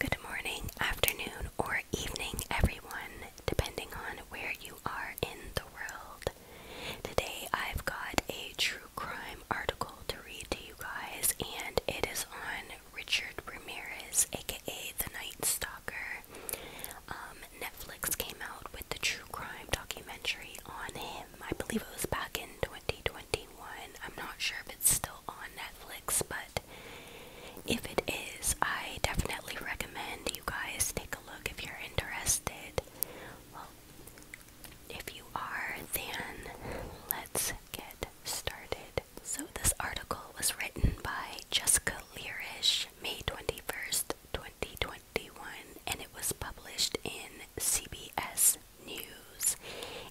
Good morning, afternoon, or evening, everyone, depending on where you are in the world. Today I've got a true crime article to read to you guys, and it is on Richard Ramirez, aka the Night Stalker. Um, Netflix came out with the true crime documentary on him. I believe it was back in 2021. I'm not sure if it's still on Netflix, but if it is, I definitely recommend you guys take a look if you're interested. Well, if you are, then let's get started. So, this article was written by Jessica Learish, May 21st, 2020. 1951 and it was published in CBS News.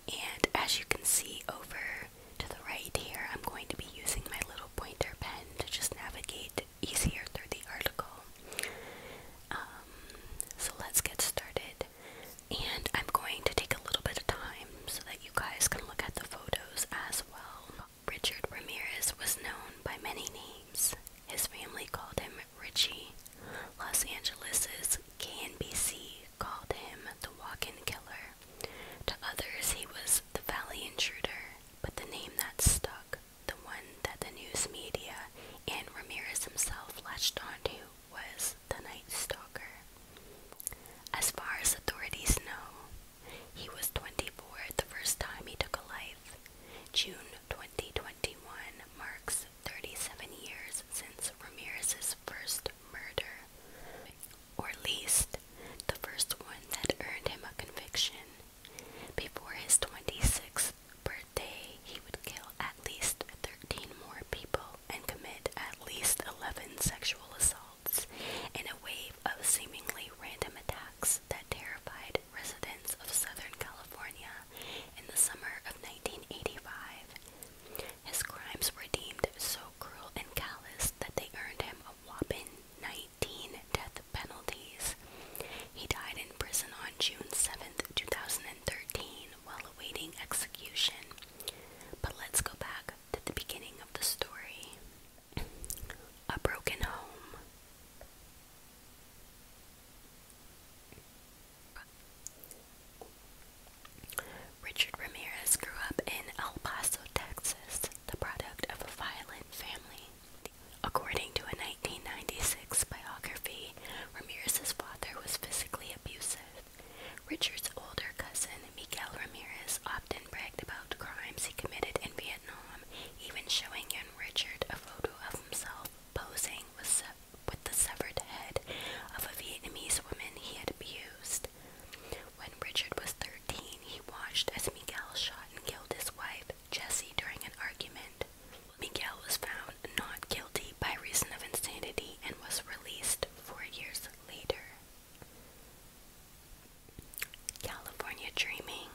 And as you can see over to the right here, I'm going to be using my little pointer pen to just navigate easier through the article. Um, so let's get started. And I'm going to take a little bit of time so that you guys can look at the photos as well. Richard Ramirez was known by many names. His family called him Richie. Los Angeles's KNBC called him the walk-in killer. To others, he was the Valley Intruder, but the name that stuck, the one that the news media and Ramirez himself latched onto, was the Night Stalker. As far as authorities know, he was 24 the first time he took a life. June 2021 marks 37 years since Ramirez's first murder, or at least the first one that earned him a conviction. Before his 26th birthday, he would kill at least 13 more people and commit at least 11 sexual assaults in a wave of seemingly random attacks that terrified residents of Southern California in the summer of 1985. His crimes were deemed so cruel and callous that they earned him a whopping 19 death penalties. He died in prison on June seventh, two 2013, while awaiting execution. But let's go back to the beginning of the story. A broken home. Richard Ramirez grew up in El Paso, Texas, the product of a violent family. According to a 1996 biography, Ramirez's father was physically abusive. Richard's older cousin, Miguel Ramirez, often bragged about crimes he committed in Vietnam even showing young Richard a photo of himself posing with the severed head of a Vietnamese woman he had abused. When Richard was 13, he watched as Miguel shot and killed his wife, Jessie, during an argument. Miguel was found not guilty by reason of insanity and was released four years later. California Dreaming.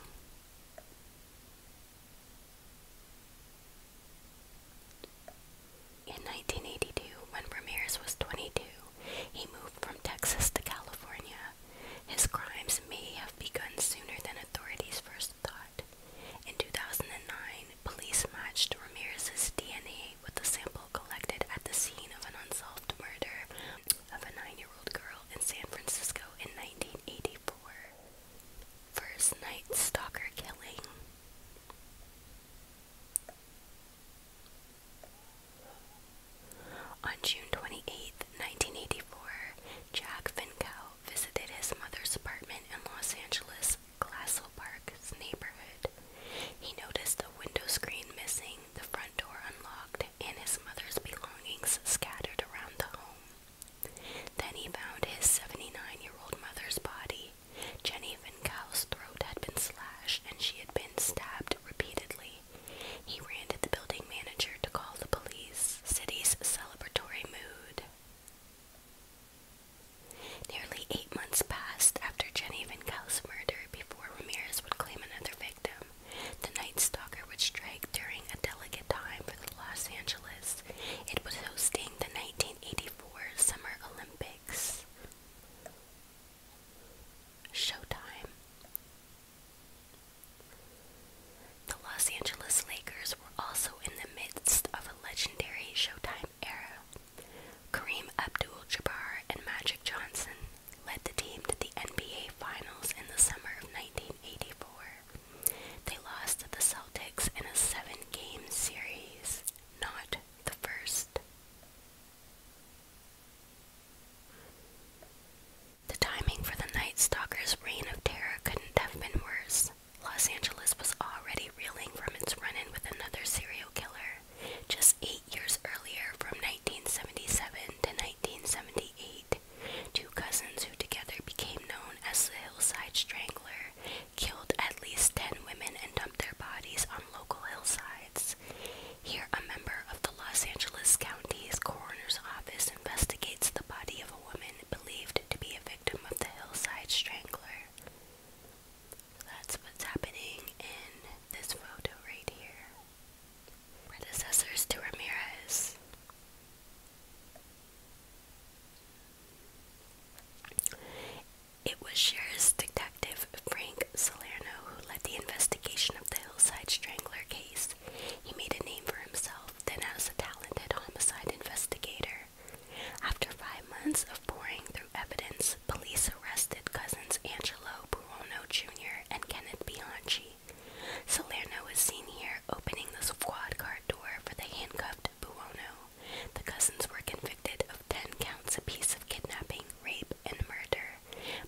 In 1982, when Ramirez was 22, he moved from Texas to California. His crimes may have begun sooner than authorities first thought. In 2009, police matched Ramirez's DNA with a sample collected at the scene of an unsolved murder of a nine year old old girl in San Francisco in 1984. First Night Stalker Killing. On June 28, 1984, Jack Finkow visited his mother's apartment in Los Angeles' Glassell Park neighborhood. He noticed a window screen missing the front door unlocked and his mother's belongings scattered around the home. Then he found his 79 year old mother's body. Jenny Vinkow's throat had been slashed and she had been stabbed repeatedly. He ran to the building manager to call the police. City's celebratory mood. Nearly eight months passed after Jenny Vinkel's murder before Ramirez would claim another victim. The Night Stalker would strike during a delicate time for the Los Angeles. It was hosting the 1984 Summer Olympics. Showtime. The Los Angeles Lakers were also in the midst of a legendary Showtime era. Kareem Abdul-Jabbar and Magic Johnson led the team to the NBA Finals in the summer of 1984. They lost to the Celtics in a seven game series, not the first. The timing for the Night Stalkers' reign of terror couldn't have been worse. Los Angeles was already reeling from its run in with another serial killer just eight years earlier from 1977 to 1978, two cousins who together became known as the Hillside Strangler killed at least 10 women and dumped their bodies on local hillsides. Here, a member of the Los Angeles County's coroner's office investigates the body of a woman believed to be a victim of the Hillside Strangler. that's what's happening in this photo right here predecessors to Ramirez. It was Sheriff's Detective Frank Salerno who led the investigation of the Hillside Strangler case. He made a name for himself, then as a talented homicide investigator. After five months of poring through evidence, police arrested cousins Angelo Buono Jr. and Kenneth Bianchi. Salerno was seen here opening the squad car door for the handcuffed Buono. The cousins were convicted of 10 counts apiece of kidnapping, rape, and murder,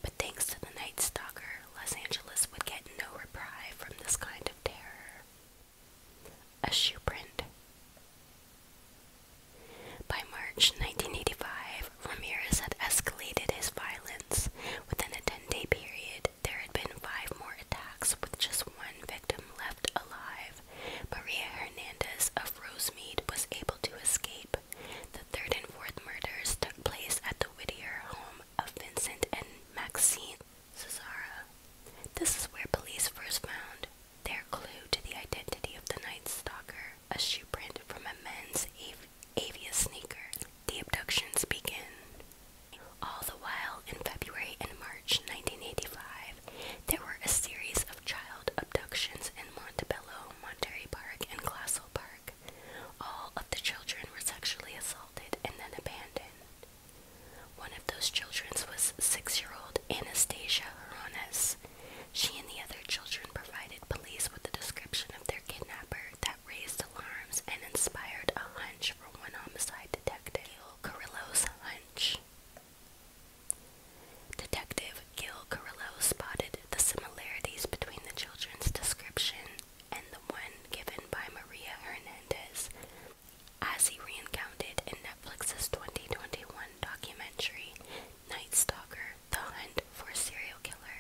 but thanks to the Night Stalker, Los Angeles would get no reprisal from this kind of terror. A shoe print. By March 1985, Ramirez had escalated his violence. Within a 10 day period, there had been five more attacks with just one victim left alive. Maria Hernandez of Rosemead was able to escape. The third and fourth murders took place at the Whittier home of Vincent and Maxine Cesara. This is where police first found their clue to the identity of the Night Stalker, a shoe print from a men's Avia Sneaker. The abductions begin. All the while, in February and March 1985, there were a series of child abductions in Montebello, Monterey Park, and Glassell Park. All of the children were sexually assaulted and then abandoned. One of those children was six-year-old Anastasia Horones. She and the other children provided police with a description of their kidnapper that raised alarms and inspired a hunch for one homicide detective, Gil Carrillo's hunch. Detective Gil Carrillo spotted the similarities between the children's description and the one given by Maria Hernandez as he recounted in Netflix's 2021 documentary Night Stalker, the hunt for a serial killer.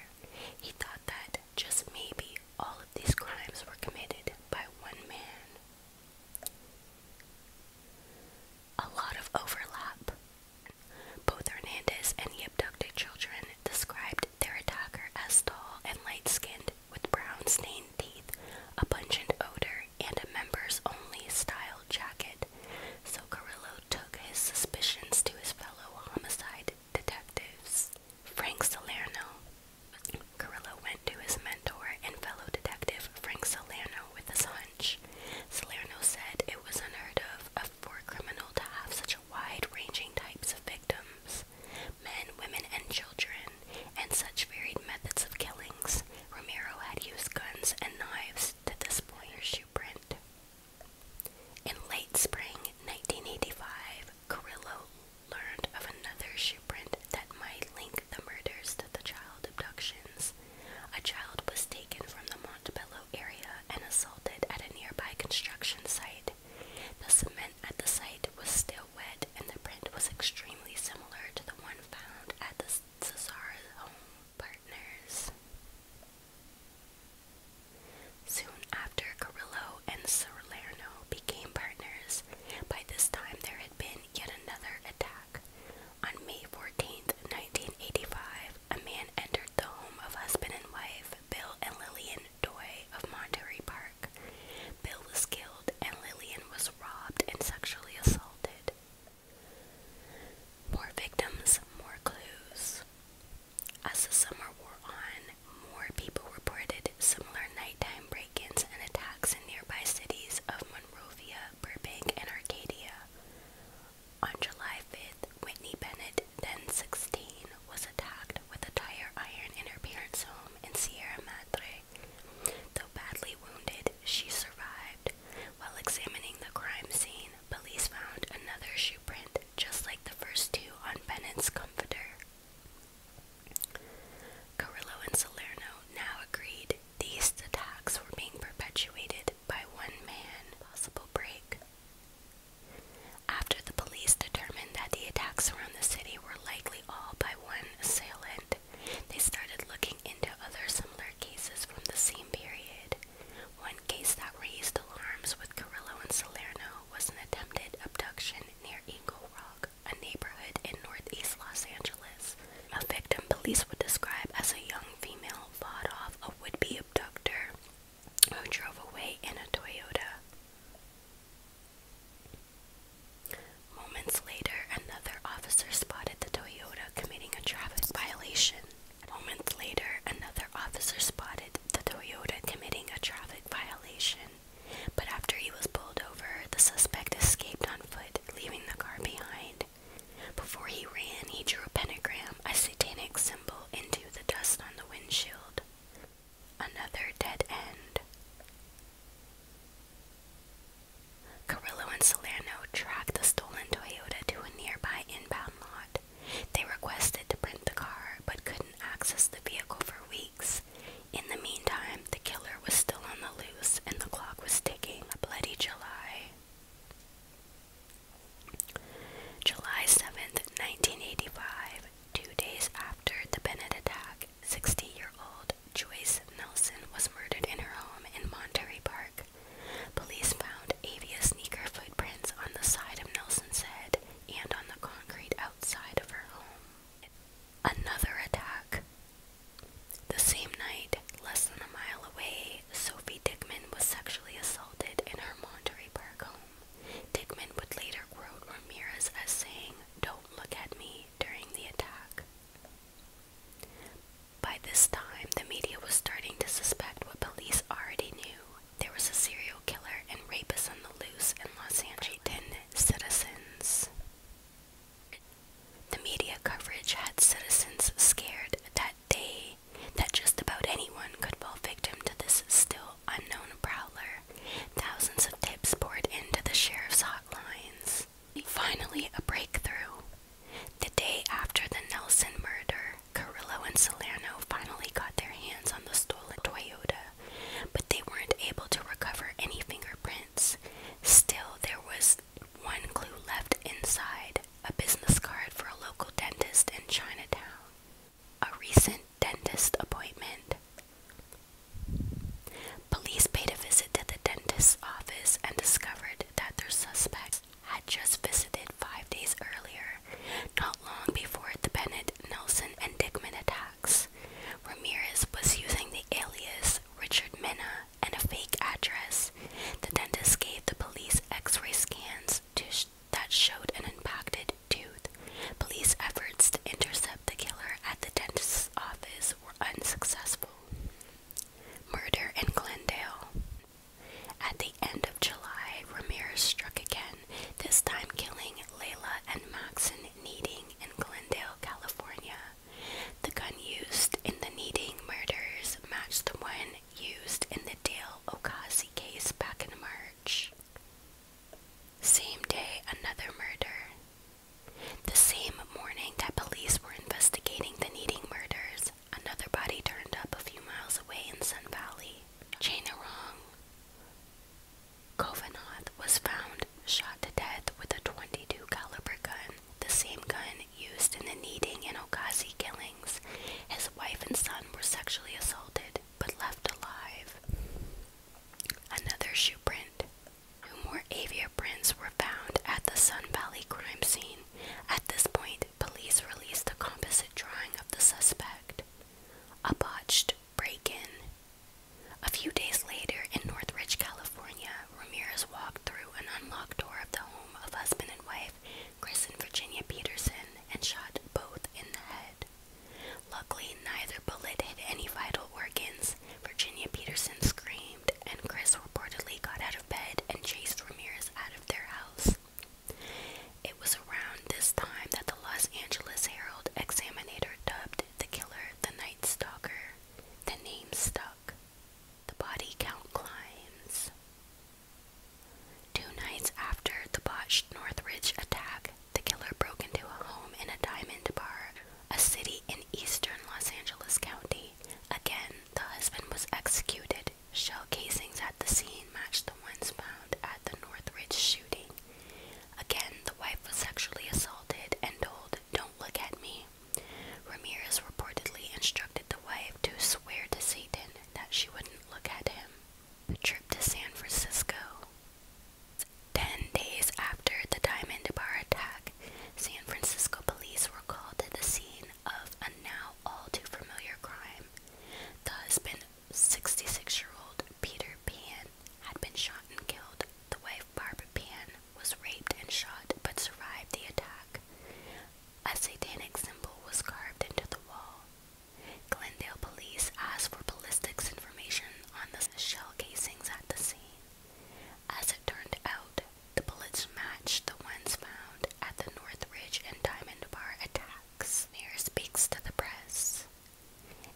He thought that just maybe all of these crimes were committed by one man. A lot of overlap. Both Hernandez and the abducted children described their attacker as tall and light skinned with brown stained teeth, a pungent odor, and a members only style jacket so Carrillo took his suspicions to his fellow homicide detectives. Frank Salerno. Carrillo went to his mentor and fellow detective Frank Salerno with his hunch. Salerno said it was unheard of for a criminal to have such a wide-ranging types of victims, men, women, and children, and such varied methods of killings. Romero had used guns and knives to this point. Shoe print. In late spring 1985, Carrillo learned of another shoe print that might link the murders to the child abductions. A child was taken from the Montebello area and assaulted at a nearby construction site. The cement at the site was still wet and the print was extremely similar to the one found at the Cesara home partners. Soon after, Carrillo and Salerno became partners. By this time, there had been yet another attack. On May Fourteenth, 1985, a man entered the home of husband and wife Bill and Lillian Doy of Monterey Park. Bill was killed, and Lillian was robbed and sexually assaulted. More victims, more clues. As the summer wore on, more people reported similar nighttime break-ins and attacks in nearby cities of Monrovia, Burbank, and Arcadia. On July 5th, Whitney Bennett, then 16, was attacked with a tire iron in her parents' home in Sierra Madre. Though badly wounded, she survived. While examining the crime scene, police found another shoe print just like the first two on Bennett's comforter. Carrillo and Salerno now agreed these attacks were being perpetuated by one man. Possible break. After the police determined that the attacks around the city were likely all by one assailant, they started looking into other similar cases from the same period. One case that raised alarms with Carrillo and Salerno was an attempted abduction near Eagle Rock, a neighborhood in northeast Los Angeles. A victim police would describe as a young female fought off a would-be abductor who drove away in a Toyota. Moments later, another officer spotted the Toyota committing a traffic violation. Moments later, another officer spotted the Toyota committing a traffic violation, but after he was pulled over, the suspect escaped on foot, leaving the car behind. Before he ran, he drew a pentagram, a satanic symbol, into the dust on the windshield. Another dead end. Carrillo and Solano tracked the stolen Toyota to a nearby inbound lot, they requested to print the car but couldn't access the vehicle for weeks. In the meantime, the killer was still on the loose and the clock was ticking. A bloody July. July 7th, 1985, two days after the Bennett attack, 60 year old Joyce Nelson was murdered in her home in Monterey Park. Police found avia sneaker footprints on the side of Nelson's head and on the concrete outside of her home. Another attack. The same night, less than a mile away, Sophie Dickman was sexually assaulted in her Monterey Park home. Dickman would later quote Ramirez as saying, Don't look at me during the attack. By this time, the media was starting to suspect what police already knew. There was a serial killer and rapist on the loose in Los Angeles citizens. The media coverage had citizens scared that day that just about anyone could fall victim to this still unknown prowler. Thousands of tips poured into the sheriff's hotlines. Finally, a breakthrough. The day after the Nelson murder, Carrillo and Salerno finally got their hands on the stolen Toyota, but they weren't able to recover any fingerprints. Still, there was one clue left inside a business card for a local dentist in Chinatown. A recent dentist appointment. Police paid a visit to the dentist's office and discovered that their suspect had just visited five days earlier, not long before the Bennett, Nelson, and Dickman attacks. Ramirez was using the alias Richard Minna and a fake address. The dentist gave the police x ray scans that showed an impacted tooth. Police efforts to intercept the killer at the dentist's office were unsuccessful. Murder in Glendale. At the end of July, Ramirez struck again, this time killing Layla and Maxon Needing in Glendale, California. The gun used in the Needing murders matched the one used in the Dale Okasi case back in March. Same day, another murder. The same morning that police were investigating the Needing murders, another body turned up a few miles away in Sun Valley. Chainarong Kovanath was found shot to death with a 22 caliber gun, the same gun used in the Needing and Okazi killings. His wife and son were sexually assaulted but left alive. Another shoe print. Two more avia prints were found at the Sun Valley crime scene. At this point, police released a composite drawing of the suspect, a botched break in. A few days later, in Northridge, California, Ramirez walked through an unlocked door of the home of husband and wife Chris and Virginia Peterson and shot both in the head. Luckily, neither bullet hit any vital organs. Virginia Peterson screamed, and Chris reportedly got out of bed and chased Ramirez out of their house. It was around this time that the Los Angeles Herald Examiner dubbed the killer the Night Stalker. The name stuck. The body count climbs. Two nights after the botched Northridge attack, the killer broke into a home in a diamond bar, a city in eastern Los Angeles County. Again, the husband was executed Shell casings at the scene matched the ones found at the Northridge shooting. Again, the wife was sexually assaulted and told, Don't look at me. Ramirez reportedly instructed the wife to swear to Satan that she wouldn't look at him. The trip to San Francisco. Ten days after the Diamond Bar attack, San Francisco police were called to the scene of a now all too familiar crime. The husband, 66 year old Peter Pan, had been shot and killed. The wife, Barbara Pan, was raped and shot but survived the attack. A satanic symbol was carved into the wall. Glendale police asked for ballistics information on the shell casings at the scene. As it turned out, the bullets matched the ones found at the Northridge and Diamond Bar attacks. Mayor speaks to the press.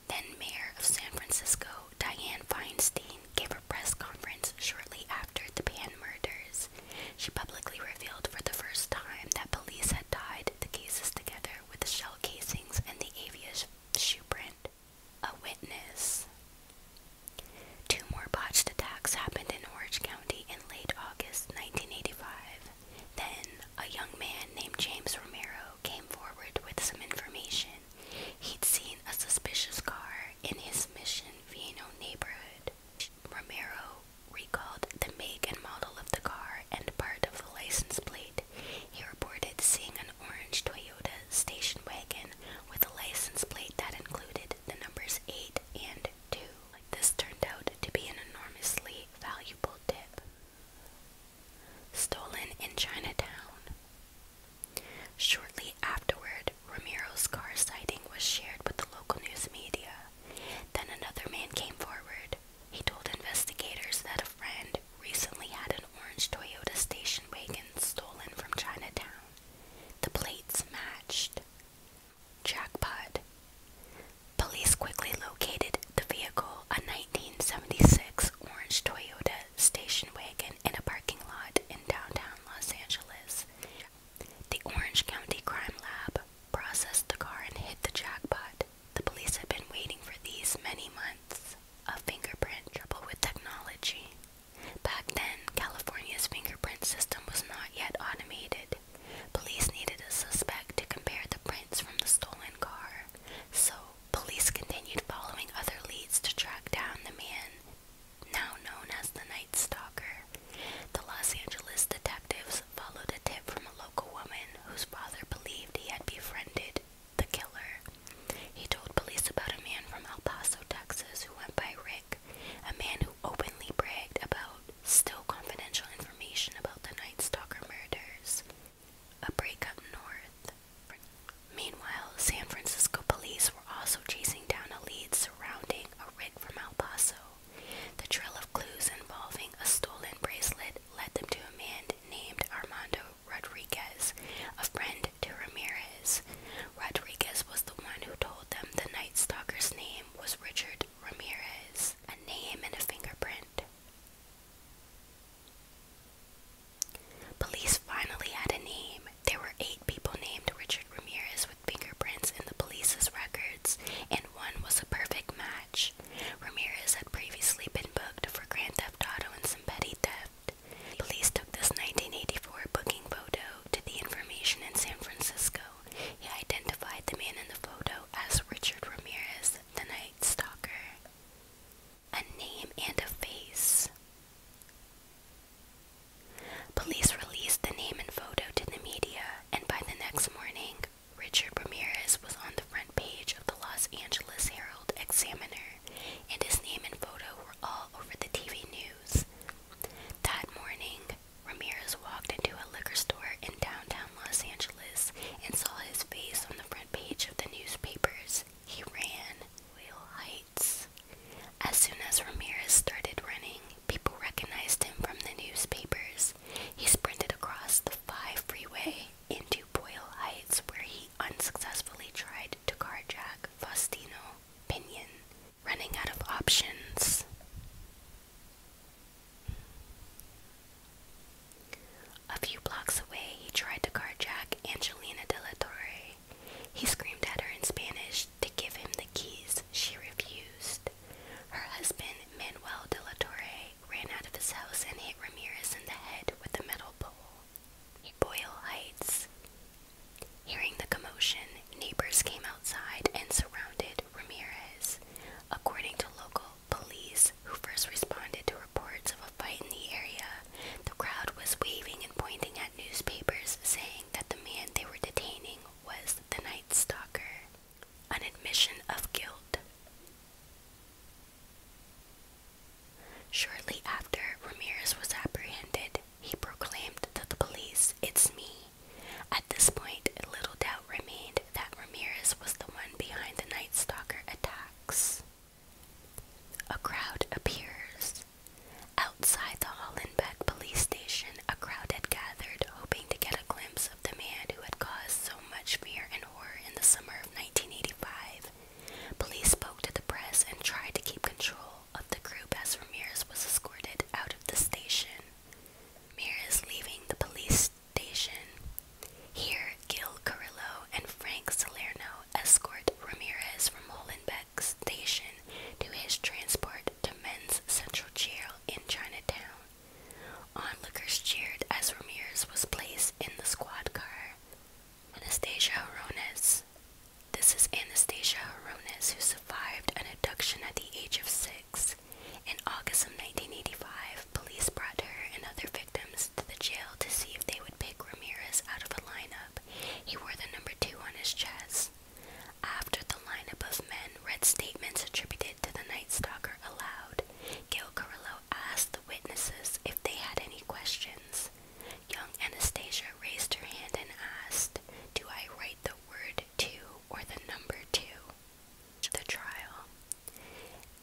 Then Mayor of San Francisco, Diane Feinstein, gave a press conference shortly after the Pan murders. She publicly revealed for the first time that police had tied the cases together with the shell casings and the avia shoe print. A witness. Two more botched attacks happened in Orange County in late August 1985. Then, a young man named James Romero came forward with some information. He'd seen a suspicious car in his Mission Viejo neighborhood. Romero recalled the make and model of the car and part of the license plate. He reported seeing an orange Toyota station wagon with a license plate that included the numbers 8 and good This turned out to be an enormously valuable tip. Stolen in Chinatown. Shortly afterward, Ramiro's car sighting was shared with the local news media. Then another man came forward. He told investigators that a friend recently had an orange Toyota station wagon stolen from Chinatown. The plates matched. Jackpot. Police quickly located the vehicle, a 1976 orange Toyota station wagon, in a parking lot in downtown Los Angeles. The Orange County Crime Lab processed the car and hit the jackpot. The police had been waiting for these many months. A fingerprint trouble with technology. Back then, California's fingerprint system was not yet automated. Police needed a suspect to compare the prints from the stolen car, so police continued following other leads to track down the man now known as the Night Stalker. The Los Angeles detectives followed a tip from a local woman whose father believed he had befriended the killer. He told police about a man from El Paso, Texas, who went by Rick a man who openly bragged about still confidential information about the Night Stalker murders. A break up north. Meanwhile, San Francisco police were also chasing down a lead surrounding a rig from El Paso. The trail of clues involving a stolen bracelet led them to a man named Armando Rodriguez, a friend to Ramirez. Rodriguez was the one who told them the Night Stalker's name was Richard Ramirez, a name and a fingerprint. Police finally had a name. There were eight people named Richard Ramirez with fingerprints in the police's records, and one was a perfect match. Ramirez had previously been booked for Grand Theft Auto and some petty theft. Police took this 1984 booking photo to the information in San Francisco, he identified the man in the photo as Richard Ramirez, the Night Stalker. A name and a face. Police released the name and photo to the media, and by the next morning, Richard Ramirez was on the front page of the Los Angeles Herald Examiner, and his name and photo were all over the TV news. That morning, Ramirez walked into a liquor store in downtown Los Angeles and saw his face on the front page of the newspapers. He ran. Whale Heights. As soon as Ramirez started running, people recognized him from the newspapers. He sprinted across the 5 freeway into Boyle Heights where he unsuccessfully tried to carjack Faustino Pinion, running out of options. A few blocks away, he tried to carjack Angelina de He screamed at her in Spanish to give him the keys. She refused. Her husband, Manuel de ran out of his house and hit Ramirez in the head with a metal pole. Boyle Heights, Hearing the commotion, neighbors came outside and surrounded Ramirez. According to local police, who first responded to reports of a fight in the area, the crowd was waving and pointing at newspapers saying that the man they were detaining was the Night Stalker. An admission of guilt. Shortly after, Ramirez was apprehended he proclaimed to the police, It's me. At this point, little doubt remained that Ramirez was the one behind the Night Stalker attacks. A crowd appears. Outside the Hollenbeck police station, a crowd had gathered, hoping to get a glimpse of the man who had caused so much fear and horror in the summer of 1985. Police spoke to the press and tried to keep control of the group as Ramirez was escorted out of the station. Ramirez leaving the police station. Here, Gil Carrillo and Frank Salerno escort Ramirez from Molenbeek Station to his transport to Men's Central Jail in Chinatown. Onlookers cheered as Ramirez was placed in the squad car. Anastasia Horones, this is Anastasia Horonis, who survived an abduction at the age of six. In August of 1985, police brought her and other victims to the jail to see if they would pick Ramirez out of a lineup. He wore the number two on his chest. After the lineup of men read statements attributed to the Night Stalker aloud, Gil Carillo asked the witnesses if they had any questions. Young Anastasia raised her hand and asked, Do I write the word two or the number two? The trial.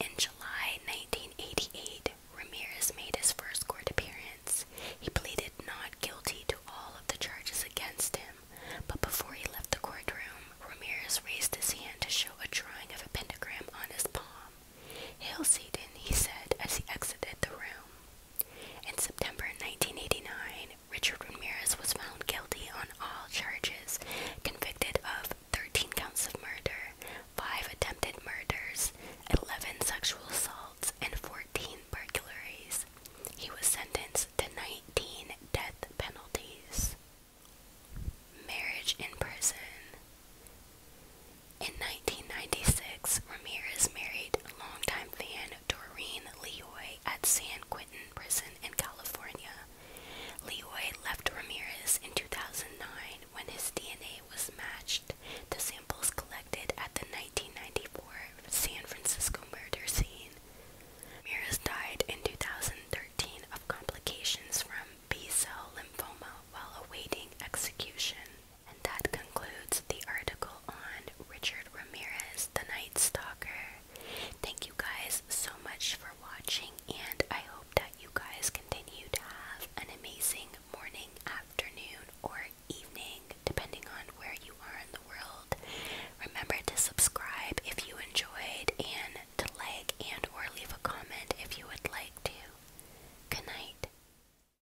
In July 1988, Ramirez made his first court appearance. He pleaded not guilty to all of the charges against him, but before he left the courtroom, Ramirez raised his hand to show a drawing of a pentagram on his palm. Hail Satan, he said as he exited the room. In September 1989, Richard Ramirez was found guilty on all charges, convicted of 13 counts of murder, 5 attempted murders, 11 sexual assaults, and 14 burglaries. He was sentenced to 19 death penalties. Marriage in prison. In 1996, Ramirez married longtime fan Doreen Leoy at San Quentin Prison in California. Leoy left Ramirez in 2009 when his DNA was matched to samples collected at the 1994 San Francisco murder scene. Ramirez died in 2013 of complications from B-cell lymphoma while awaiting execution. And that concludes the article on Richard Ramirez, the Night Stalker. Thank you guys so much for watching, and I hope that you guys continue to have an amazing morning, afternoon, or evening, depending on where you are in the world. Remember to subscribe if you enjoyed, and to like and or leave a comment if you would like to. Good night.